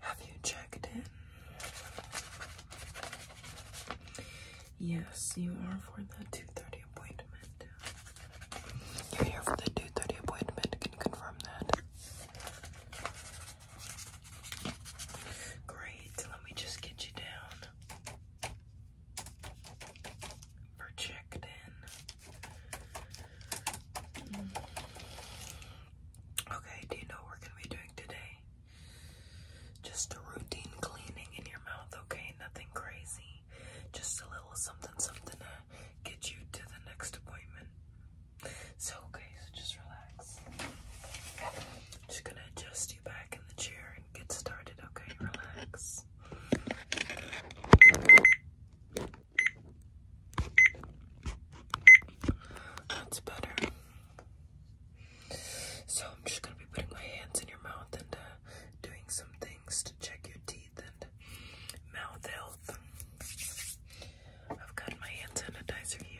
Have you checked in? Yes, you are for the 2.30 appointment. You're here for the 2.30 appointment. Can confirm that? Great. Let me just get you down for chicken. Mm. Okay, do you know what we're gonna be doing today? Just a routine cleaning in your mouth, okay? Nothing crazy. Just a little something, something to get you to the next appointment. So, okay, so just relax. I'm just gonna adjust you back in the chair and get started, okay? Relax. That's better. So I'm just gonna be putting my hands in your mouth and uh, doing some things to check your teeth and mouth health. I've got my hand sanitizer here.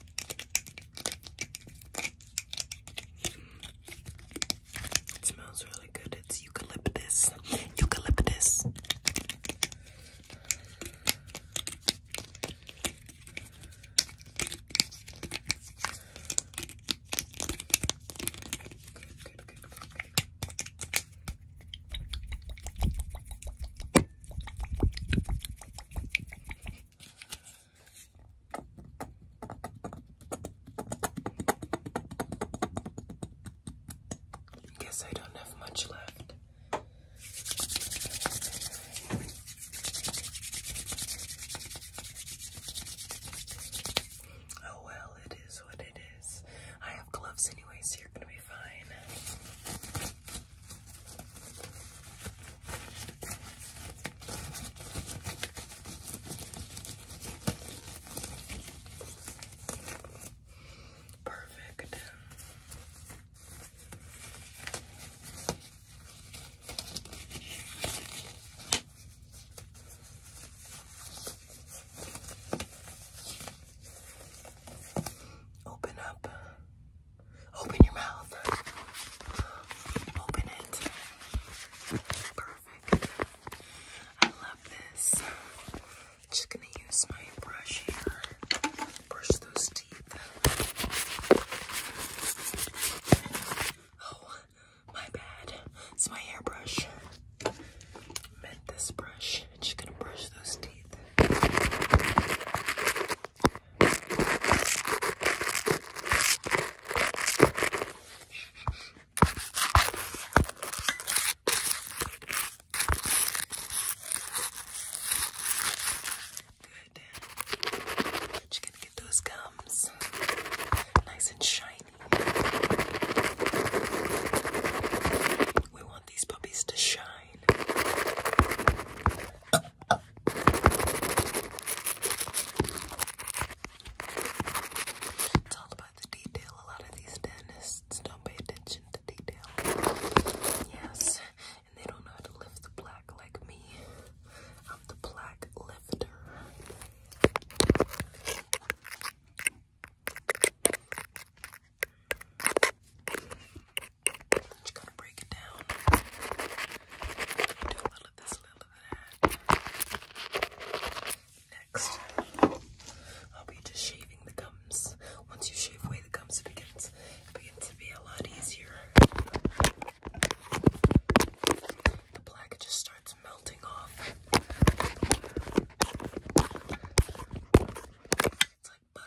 It smells really good. It's eucalyptus. Eucalyptus. Guess I don't have much left. Oh well, it is what it is. I have gloves anyway, so you're gonna be be fine. Perfect. Open up Open your mouth. Open it. Perfect. I love this. I'm just gonna use my brush here. Brush those teeth. Oh, my bad. It's my hairbrush. I meant this brush. I'm just gonna brush those teeth. Good. gonna get those gums nice and shiny. We want these puppies to shine. It's all about the detail. A lot of these dentists don't pay attention to detail. Yes, and they don't know how to lift the plaque like me. I'm the plaque lifter. Just gotta break it down. Do a little of this, a little of that. Next, I'll be just shaving the gums. Once you shave away the gums, it begins, it begins to be a lot easier. The black just starts melting off like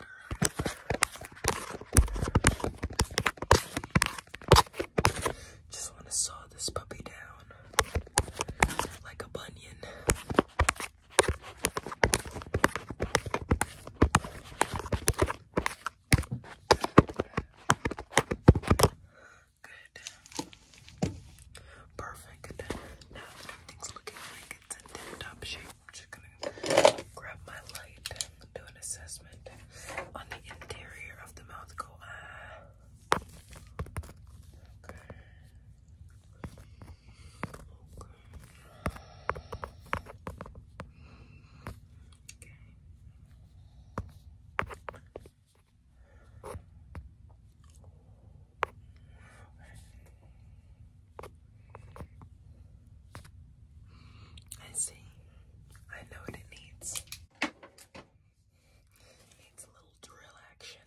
Just want to saw this puppy down like a bunion. Good. Perfect. Now everything's looking like it's a tin top shape. I'm just gonna grab my light do an assessment on the interior of the mouth. Go ah. Okay. Okay. Okay. I see. I know what it needs. It needs a little drill action.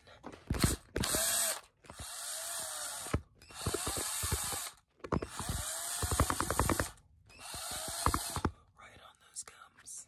Right on those gums.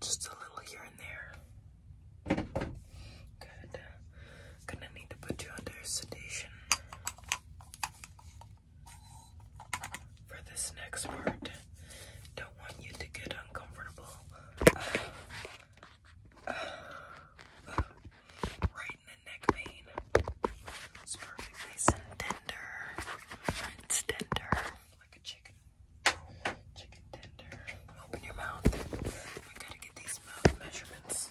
Just a little here and there. Good. Gonna need to put you under sedation for this next part. Don't want you to get uncomfortable right in the neck vein. It's perfectly tender. tender. Like a chicken. Chicken tender. Open your mouth. We gotta get these mouth measurements.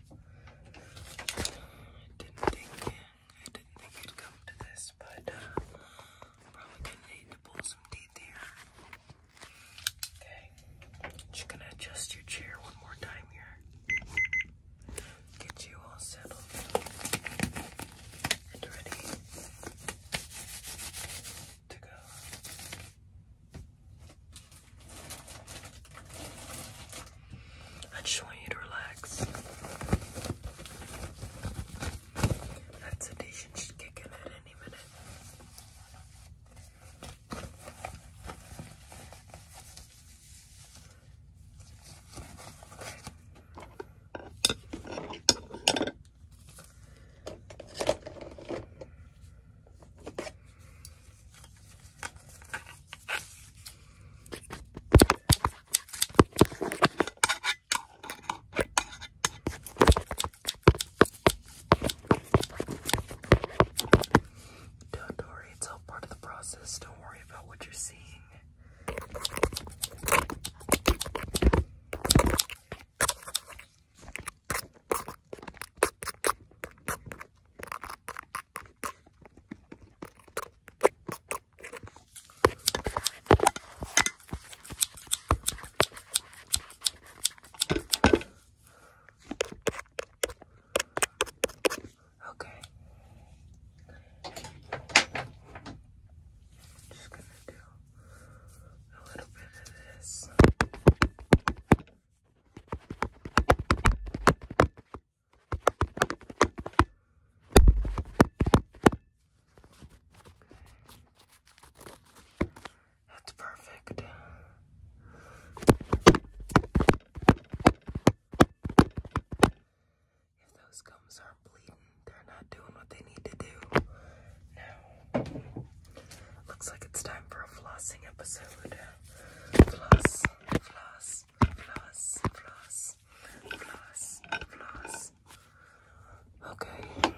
I didn't think I didn't think it'd come to this, but uh, probably gonna need to pull some teeth here. Okay, just gonna adjust your chair one more time here. Get you all settled and ready to go. I just want you to relax. That sedation should in any minute. Don't worry, it's all part of the process. Don't worry about what you're seeing. Okay. Just gonna do a little bit of this. That's perfect. If those gums are bleeding, they're not doing what they need to do. Now, looks like it's time for a flossing episode. Floss, floss floss, floss, floss, floss, floss. Okay.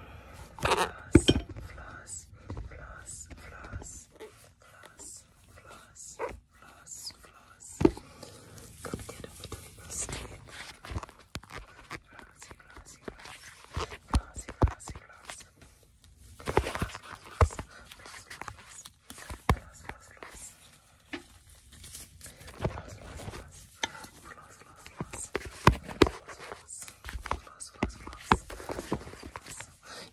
Floss, floss, floss, floss, floss, floss, floss, floss. Come get up with the lipstick. Flossy, flossy, flossy, flossy, flossy, flossy. Floss, floss, floss, floss, floss, floss.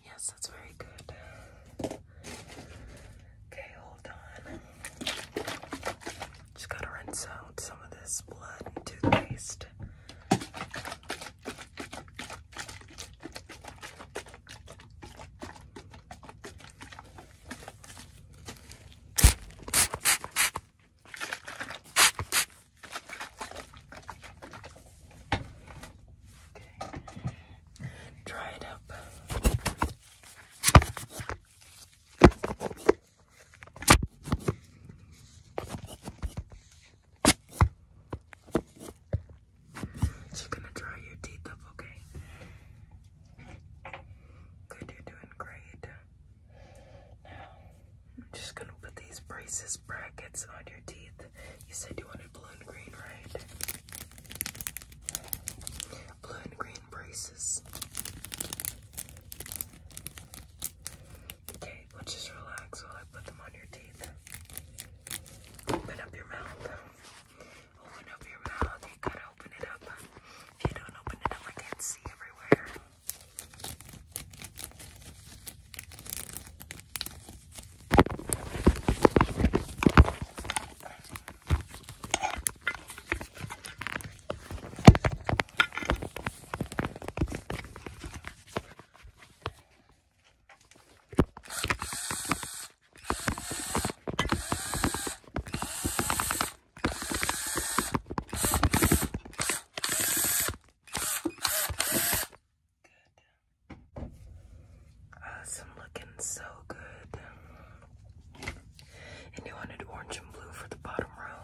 Yes, that's very good. Okay, hold on. Just gotta rinse out some of this blood and toothpaste. Okay. Dry it up. She's gonna dry your teeth up, okay? Good, you're doing great. I'm just gonna put these braces brackets on your teeth. You said you wanted blue and green, right? Blue and green braces. Okay, well just relax while I put them on your teeth. Open up your mouth. Open up your mouth. You gotta open it up. If you don't open it up, I can't see everywhere. Awesome, looking so good. And you wanted orange and blue for the bottom row.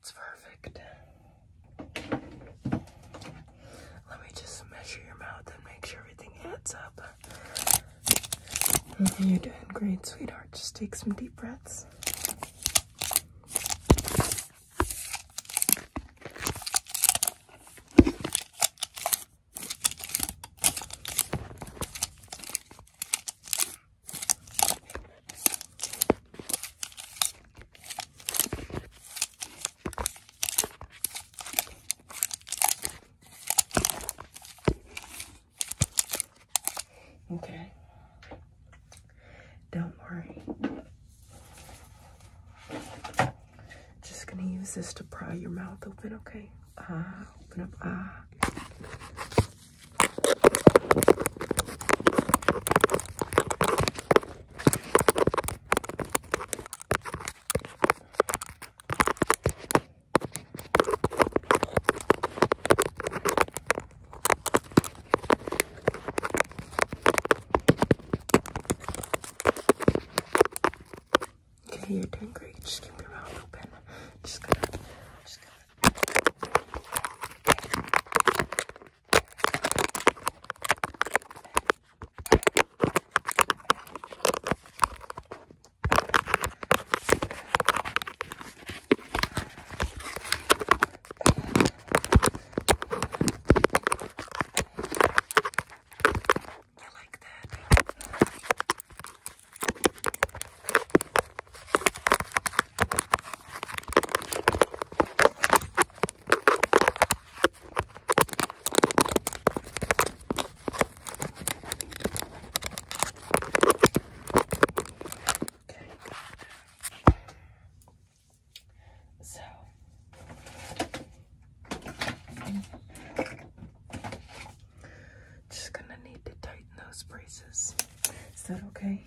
It's perfect. Let me just measure your mouth and make sure everything adds up. You're doing great, sweetheart. Just take some deep breaths. Okay. Don't worry. Just gonna use this to pry your mouth open, okay? Ah, open up. Okay, you're doing great. Just keep your round open. Just gonna, just gonna. Okay. I like that. Okay. So just gonna need to tighten those braces. Is that okay?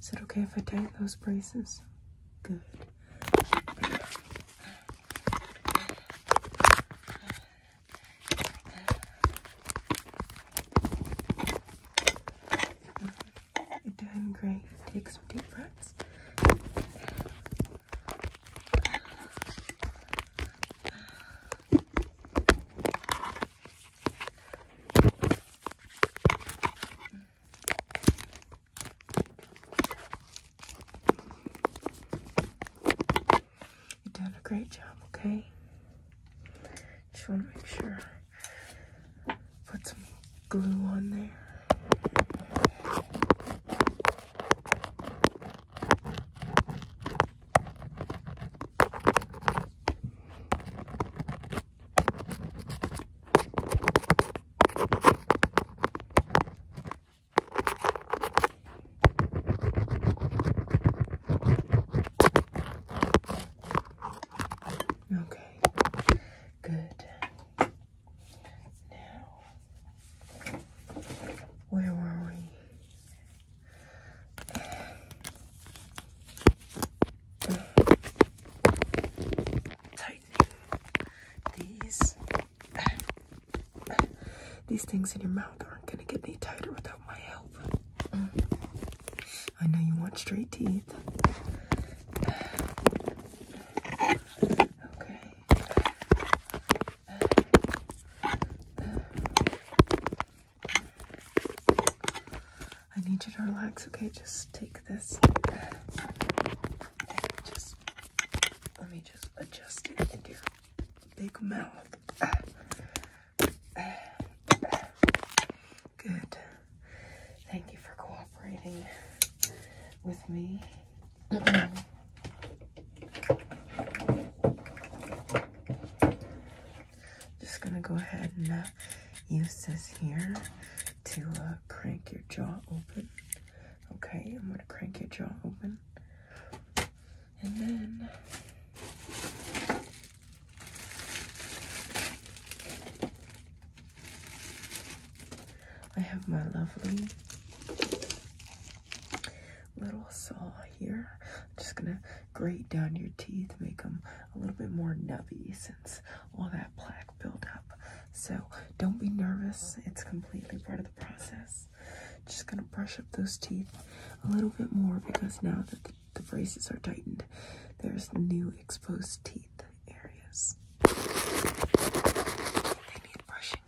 Is it okay if I tighten those braces? Good. You're doing Take some deep breaths. You've done a great job, okay? Just want to make sure. Put some glue on there. Okay, good. Now, where were we? Tightening these these things in your mouth aren't gonna get any tighter without my help. I know you want straight teeth. Okay. I need you to relax, okay? Just take this. Just let me just adjust it into your big mouth. Good. Thank you for cooperating with me. Just gonna go ahead and uh, use this here to uh, crank your jaw open. Okay, I'm gonna crank your jaw open. And then I have my lovely little saw here. I'm just gonna grate down your teeth, make them a little bit more nubby since all that plaque built up. So don't be nervous, it's completely part of the process. Just gonna brush up those teeth a little bit more because now that the, the braces are tightened, there's new exposed teeth areas. They need brushing.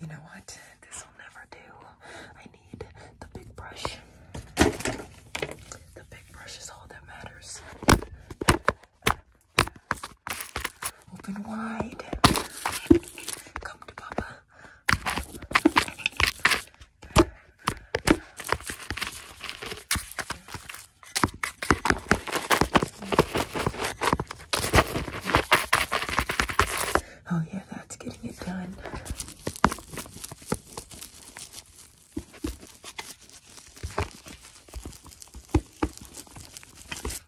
You know what? This will never do. I need the big brush. The big brush is all that matters. Open wide. Come to Papa. Oh, yeah, that's getting it done.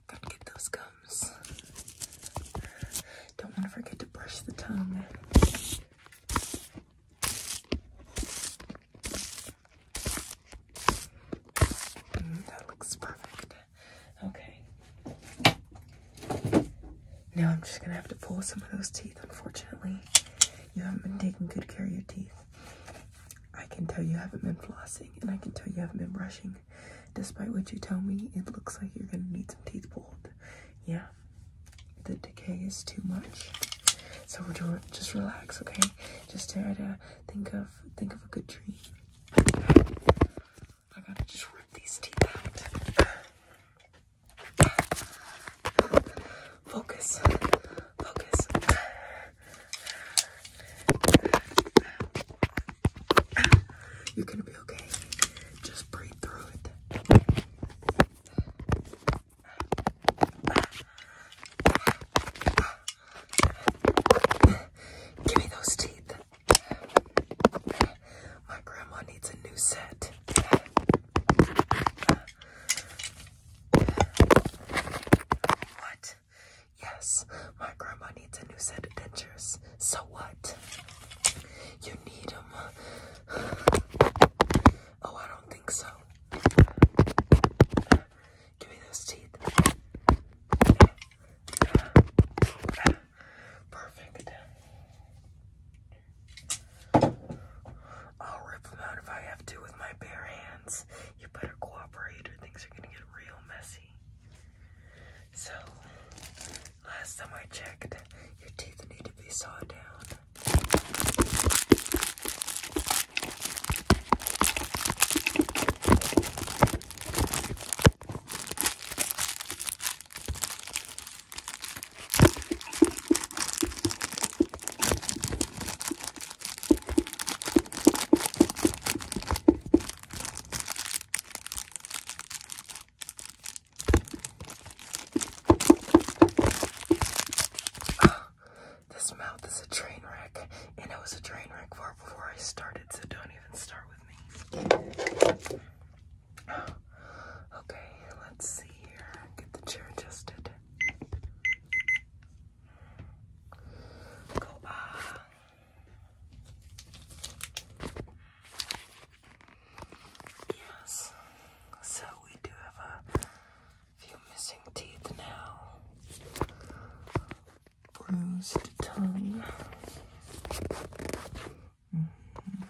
Gotta get those gums. Don't want to forget to brush the tongue. Mm, that looks perfect. Okay. Now I'm just going to have to pull some of those teeth, unfortunately. You haven't been taking good care of your teeth. I can tell you haven't been flossing, and I can tell you haven't been brushing. Despite what you tell me, it looks like you're going to need some teeth pulled. Yeah? the decay is too much. So we're just relax, okay? Just try to think of think of a good dream. I gotta just rip these teeth out. Focus. Focus. You're gonna be okay. Just breathe through it. Give me those teeth. My grandma needs a new set. What? Yes, my grandma needs a new set of dentures. So what? You need them. Oh, I don't think so. Give me those teeth. Perfect. I'll rip them out if I have to with my bare hands. You better cooperate or things are gonna get real messy. So, Last time I checked, your teeth need to be sawed down. this mouth is a train wreck, and it was a train wreck before I started, so don't even start with me. okay, let's see here. Get the chair adjusted. Go on. Ah. Yes. So we do have a few missing teeth now. Bruised tongue. Mm-hmm.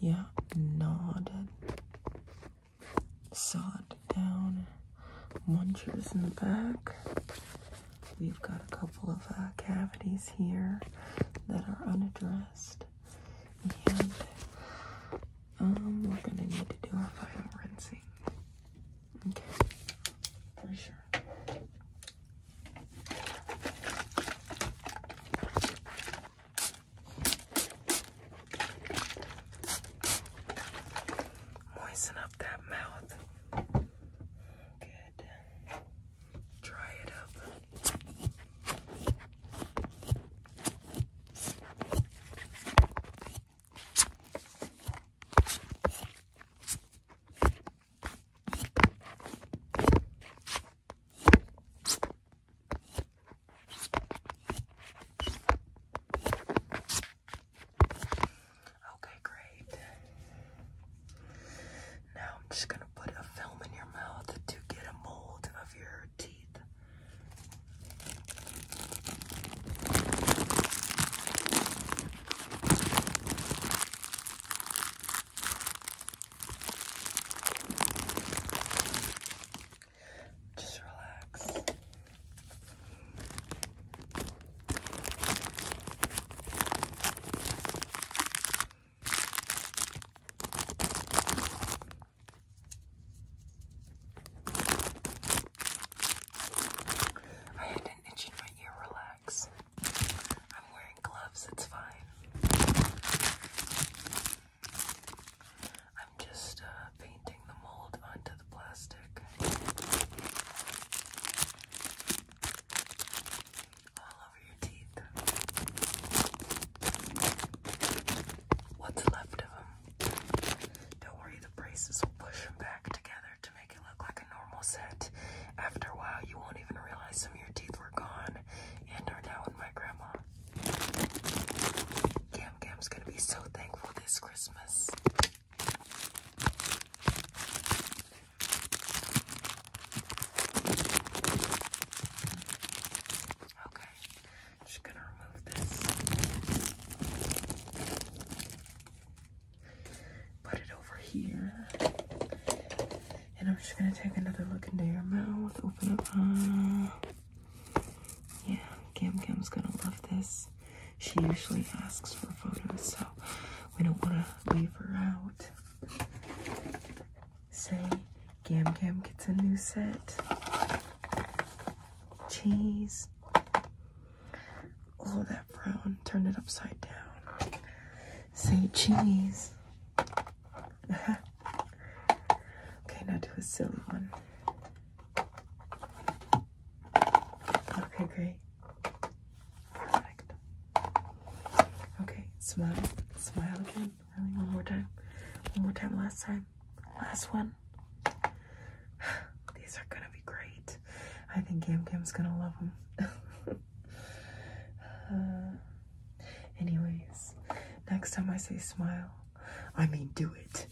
Yeah, nodded. Sawed down. Munchers in the back. We've got a couple of uh, cavities here that are unaddressed. And um, we're going to need to do a final rinsing. Okay, for sure. Moisten up that mouth. Good. Try it out. Okay, great. Now I'm just gonna put a film in your mouth to get a mold of your teeth. Just relax. I had an itch in my ear, relax. I'm wearing gloves, it's fine. I'm just uh, painting the mold onto the plastic all over your teeth. What's left of them? Don't worry, the braces will push them back together to make it look like a normal set. After a while, you won't even realize some of your teeth were gone and are now in my grandma. Cam Cam's gonna be so thankful this Christmas. Okay, I'm just gonna remove this. Put it over here. And I'm just gonna take another look into your mouth. Open up. yeah, Kim Kim's gonna love this. She usually asks for photos, so we don't wanna leave her out say Gam Gam gets a new set. Cheese. Oh, that brown. Turn it upside down. Say cheese. okay, now do a silly one. Okay, great. Perfect. Okay, smile. Smile again. one more time. One more time, last time. Last one. These are gonna be great. I think Yam Kim's gonna love them. Uh, anyways, next time I say smile, I mean do it.